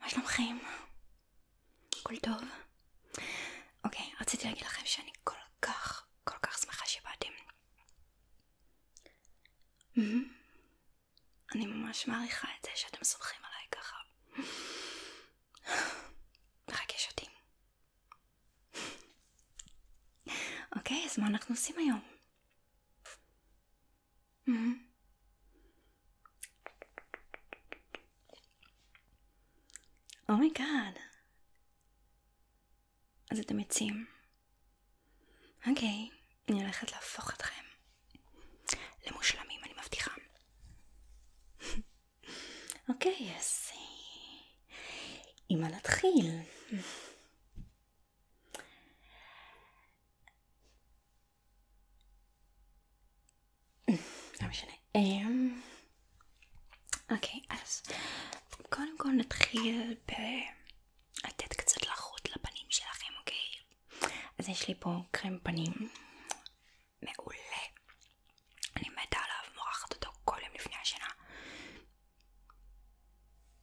מה שלומכם? הכל טוב? אוקיי, רציתי להגיד לכם שאני כל כך, כל כך שמחה שבאתם. Mm -hmm. אני ממש מעריכה את זה שאתם סומכים עליי ככה. מרגש אותי. אוקיי, אז מה אנחנו עושים היום? Mhm. אומייגאד. Oh אז אתם עצים. אוקיי, אני הולכת להפוך אתכם למושלמים, אני מבטיחה. אוקיי, אז... אה, עם מה להתחיל? לא משנה. אמ, אוקיי, אז קודם כל נתחיל ב... לתת קצת לחות לפנים שלכם, אוקיי? אז יש לי פה קרם פנים מעולה. אני מתה עליו, מורחת אותו כל יום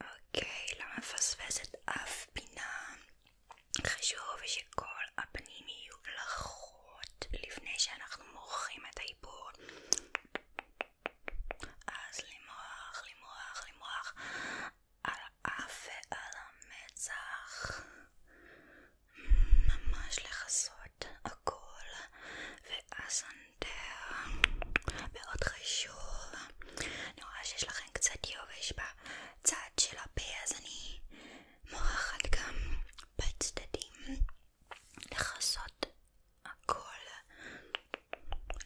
אוקיי, לא מפספסת אף פינה. חשוב שכל הפנים יהיו לחות לפני שאנחנו מורחים את האיפור. אז למרוח, למרוח, למרוח על האף ועל המצח. ממש לכסות הכל והסנטר מאוד חשוב. אני רואה שיש לך לכן קצת יובש בצד של הפה, אז אני מורחת גם בצדדים לכסות הכל.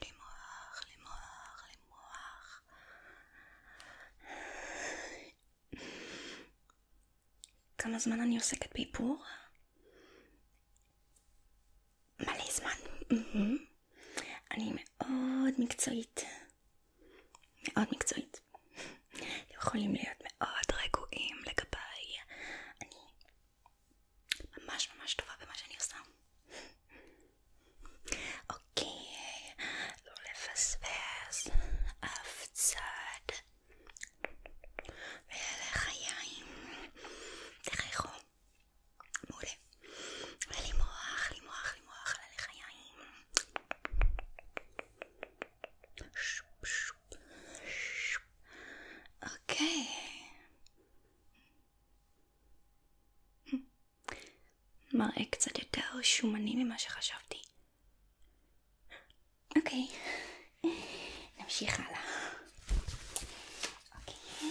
למרוח, למרוח, למרוח. כמה זמן אני עוסקת באיפור? מלא זמן. אני מאוד מקצועית. מאוד מקצועית. אתם יכולים להיות מאוד רגועים לגביי. אני ממש ממש טובה במה שאני עושה. אוקיי, לא לפספס אף צד. ואלה חיים. תכריחו מעולה. עולה לי מוח, לי מוח, לי מוח, עלה לחיים. אוקיי. מראה קצת יותר שומני ממה שחשבתי. אוקיי, נמשיך הלאה. אוקיי.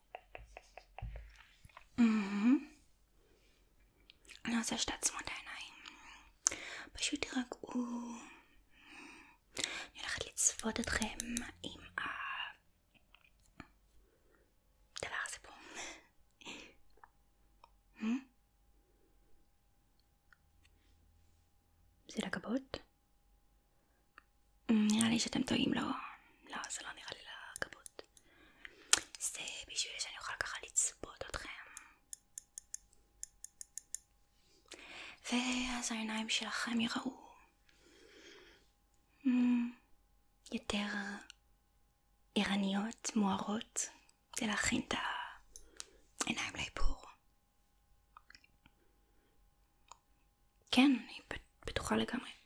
Mhm. Nossa, está desmontada aí. פשוט תירגעו. אני הולכת לצפות אתכם עם הדבר הזה זה לגבות? נראה לי שאתם טועים, לא. לא, זה לא נראה לי לגבות. הזאת זה בשביל שאני אוכל ככה לצפות אתכם ואז העיניים שלכם יראו אה, יותר עירניות, מוארות, זה להכין את העיניים לאיפור. כן, אני בטוחה לגמרי.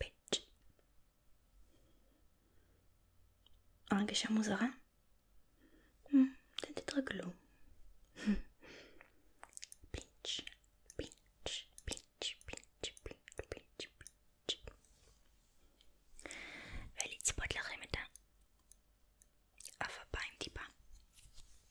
pitch. הרגשה מוזרה? תתרגלו. פיץ', פיץ', פיץ', פיץ', פיץ', פיץ', פיץ'. ולצפות לכם את האף הפיים טיפה.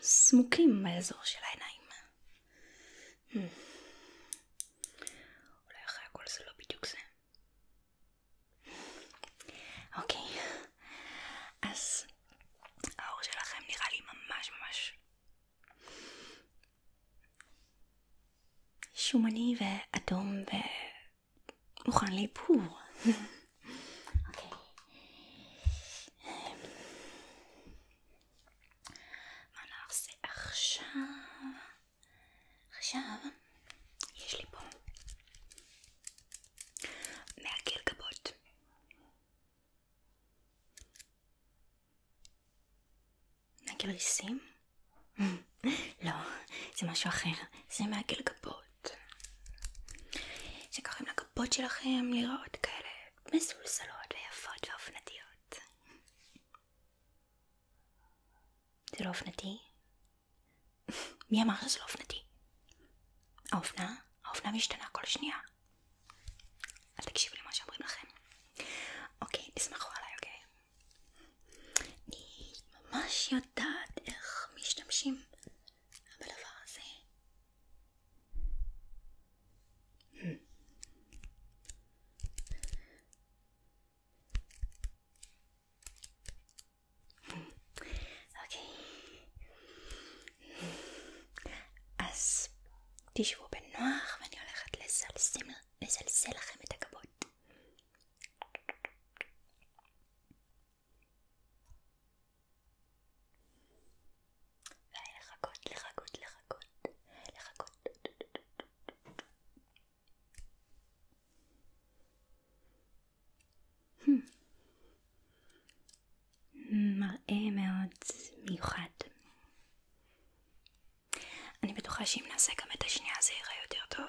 סמוקים באזור של העיניים. אולי אחרי הכל זה לא בדיוק זה. אוקיי, אז האור שלכם נראה לי ממש ממש שומני ואדום ו... pour les pauvres euh, Alors c'est Archav. Archav. Hein. Je l'ai bon. לא, זה משהו אחר, זה מעגל גבות שקוראים לגבות שלכם לראות כאלה מסולסלות ויפות ואופנתיות זה לא אופנתי? מי אמר שזה לא אופנתי? האופנה? האופנה משתנה כל שנייה אל תקשיבו למה שאומרים לכם אוקיי, תסמכו עליי, אוקיי? אני ממש יודעת איך משתמשים בדבר הזה. אוקיי. אז תשבו בנוח ואני הולכת לזלזל לכם את הגבות. ולחכות, לחכות, לחכות, לחכות. Hmm. מראה מאוד מיוחד. אני בטוחה שאם נעשה גם את השנייה זה ייראה יותר טוב.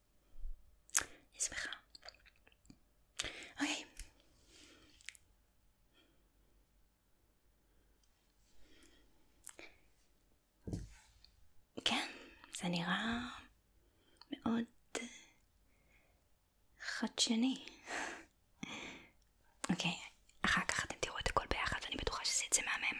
אני שמחה. אוקיי. כן, זה נראה מאוד חדשני. אוקיי, אחר כך אתם תראו את הכל ביחד ואני בטוחה שזה יצא מהמם.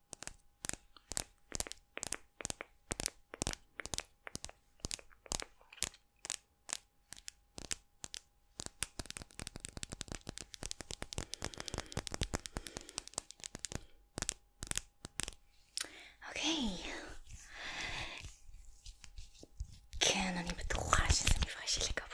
אוקיי. כן, אני בטוחה שזה מפרש של הכבוד.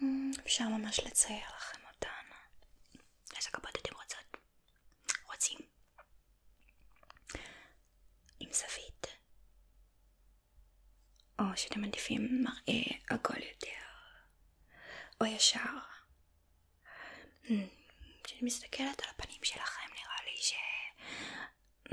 Mm, אפשר ממש לצייר לכם אותן. איזה כבוד אתם רוצות? רוצים? עם זווית? או שאתם מעדיפים מראה עגול יותר? או ישר? Mm, כשאני מסתכלת על הפנים שלכם נראה לי ש... Mm,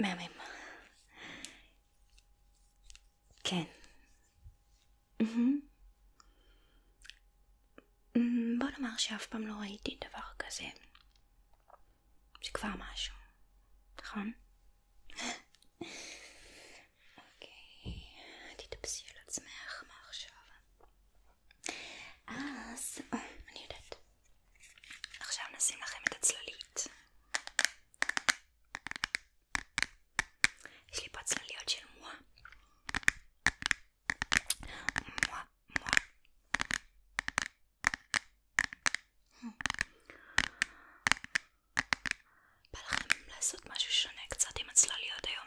מהמם. כן. Mm-hmm. Mm-hmm. בוא נאמר שאף פעם לא ראיתי דבר כזה. זה כבר משהו, נכון? אוקיי, תתאפסי על עצמך, מה אז אה, אני יודעת. עכשיו נשים לכם את הצללית. יש לי פה צלליות של מואה. מואה, מואה. בא לכם לעשות משהו שונה קצת עם הצלליות היום.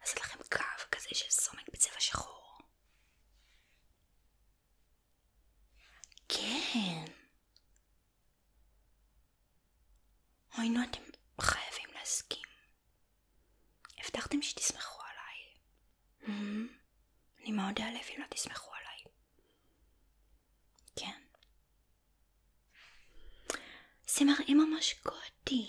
לעשות לכם קו כזה של סומק בצבע שחור. כן. אוי נו, אתם חייבים להסכים. הבטחתם שתסמכו עליי. Mm-hmm. אני מאוד אעלב אם לא תסמכו עליי. כן. זה מראה ממש גודי.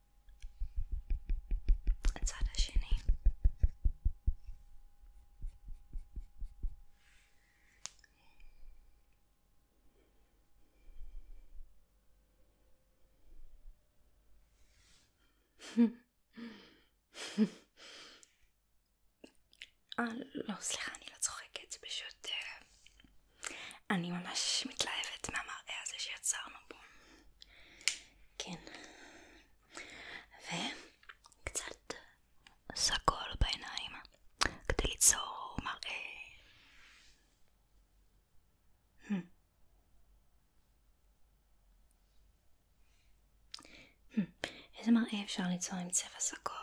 הצד השני אה, לא, סליחה, אני לא צוחקת, פשוט... אה, אני ממש מתלהבת מהמראה הזה שיצרנו בו. כן. וקצת סגול בעיניים כדי ליצור מראה. איזה מראה אפשר ליצור עם צבע סגול?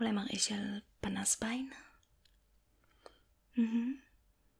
אולי מראה של פנס בעין?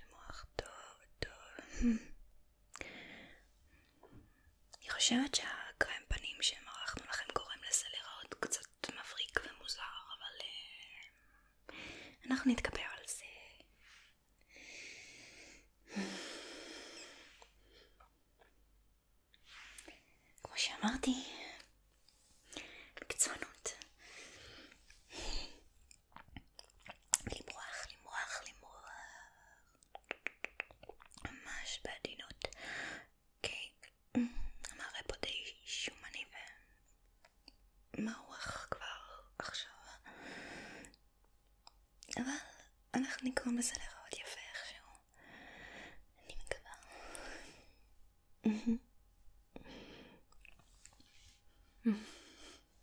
למוח טוב טוב. אני חושבת שהקרם פנים שמרחנו לכם גורם לזה קצת מבריק ומוזר, אבל uh, אנחנו נתגבר על זה. כמו שאמרתי, בקצוענות. למרוח, למרוח, למרוח. ממש בעדינות. אוקיי, המראה פה די שומני ומרוח כבר עכשיו. אבל אנחנו נגרום לזה להיראות יפה איכשהו. אני מקווה.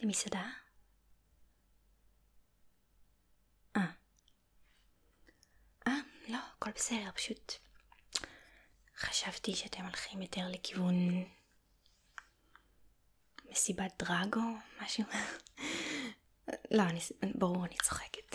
למסעדה? אה. אה, לא, הכל בסדר, פשוט חשבתי שאתם הולכים יותר לכיוון מסיבת דרגו, משהו. לא, אני, ברור, אני צוחקת.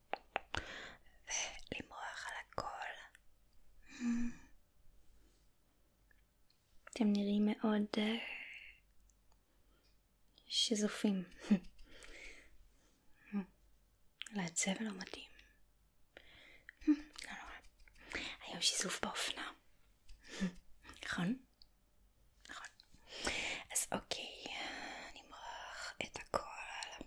ולמרוח על הכל. אתם נראים מאוד אה, שזופים. אולי הצבע לא מתאים. לא נורא. היום שיזוף באופנה. נכון? נכון. אז אוקיי, אה, נמרח את הכל.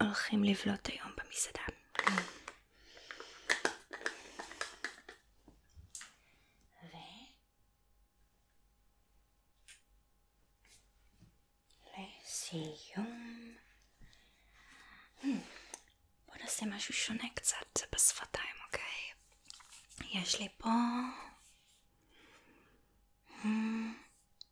הולכים לבלוט היום במסעדה. ו... לסיום. Hmm, בוא נעשה משהו שונה קצת בשפתיים, אוקיי? יש לי פה... Hmm,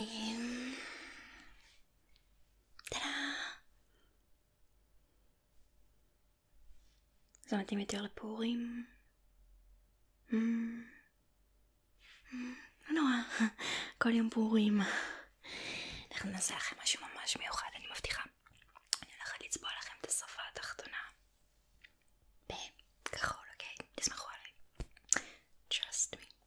Y... טאדה! זה מתאים יותר לפורים. Mm. Mm. לא נורא, כל יום פורים. אנחנו נעשה לכם משהו ממש מיוחד, אני מבטיחה. אני הולכת לצבוע לכם את השפה התחתונה. בכחול, אוקיי? תסמכו עליי. Trust me.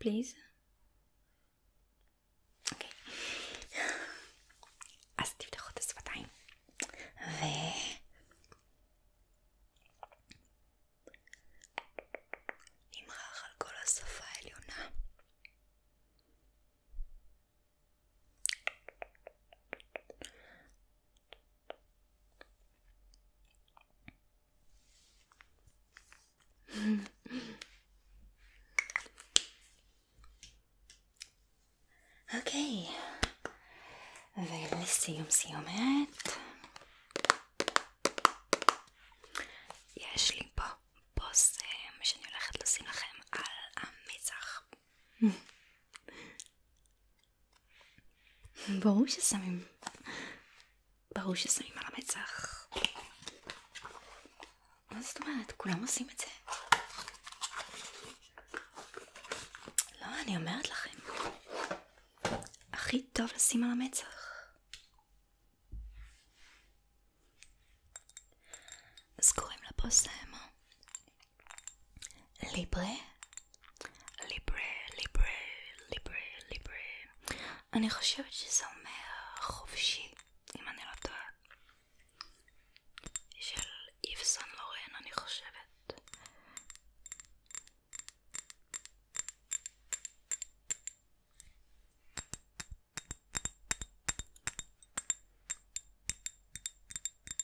Please. אוקיי. אז תפתחו את השפתיים. ו... נמרח על כל השפה העליונה. אוקיי, ולסיום סיומת יש לי פה בושם אה, שאני הולכת לשים לכם על המצח ברור ששמים. ברור ששמים על המצח. מה זאת אומרת? כולם עושים את זה. לא, אני אומרת לכם. הכי טוב לשים על המצח. אז קוראים לפוסט ליברה? ליברה, ליברה, ליברה, ליברה. אני חושבת שזה אומר חופשי, אם אני לא טועה. של איב לורן, אני חושבת.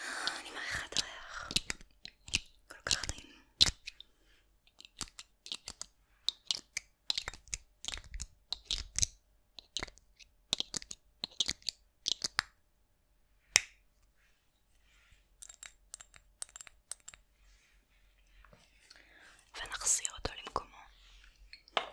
אה, אני מעריכה את הריח. כל כך טעים. ונחזיר אותו למקומו.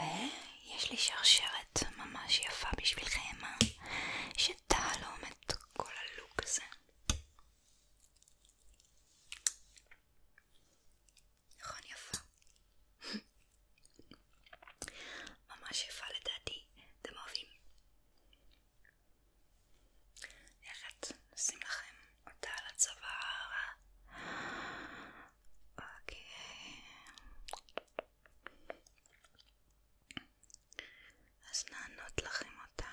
ויש לי שרשרת ממש יפה בשבילכם שטעה אה? לעומד כל הלוק הזה נכון יפה ממש יפה לדעתי, אתם אוהבים? איך נשים לכם אותה על הצוואר? אוקיי. אז נענות לכם אותה.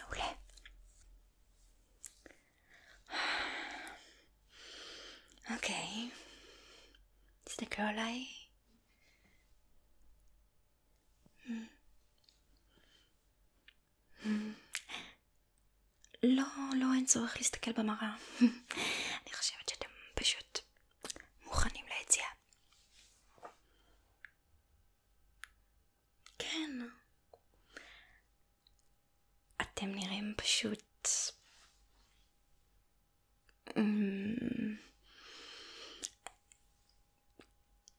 Dobre. Okay. Is the girl I לא, לא, אין צורך להסתכל במראה. אני חושבת שאתם פשוט מוכנים ליציאה. כן. אתם נראים פשוט... אמ-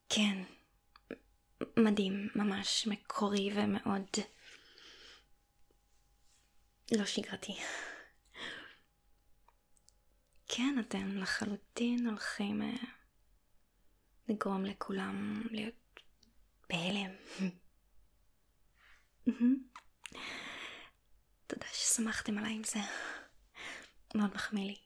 כן. מדהים, ממש מקורי ומאוד לא שגרתי. כן, אתם לחלוטין הולכים uh, לגרום לכולם להיות בהלם. תודה ששמחתם עליי עם זה. מאוד מחמיא לי.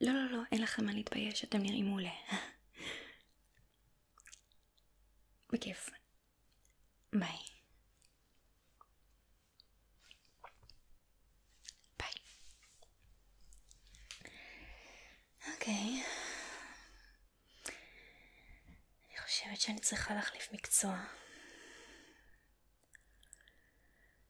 לא, לא, לא, אין לכם מה להתבייש, אתם נראים מעולה. בכיף. ביי. ביי. אוקיי. אני חושבת שאני צריכה להחליף מקצוע.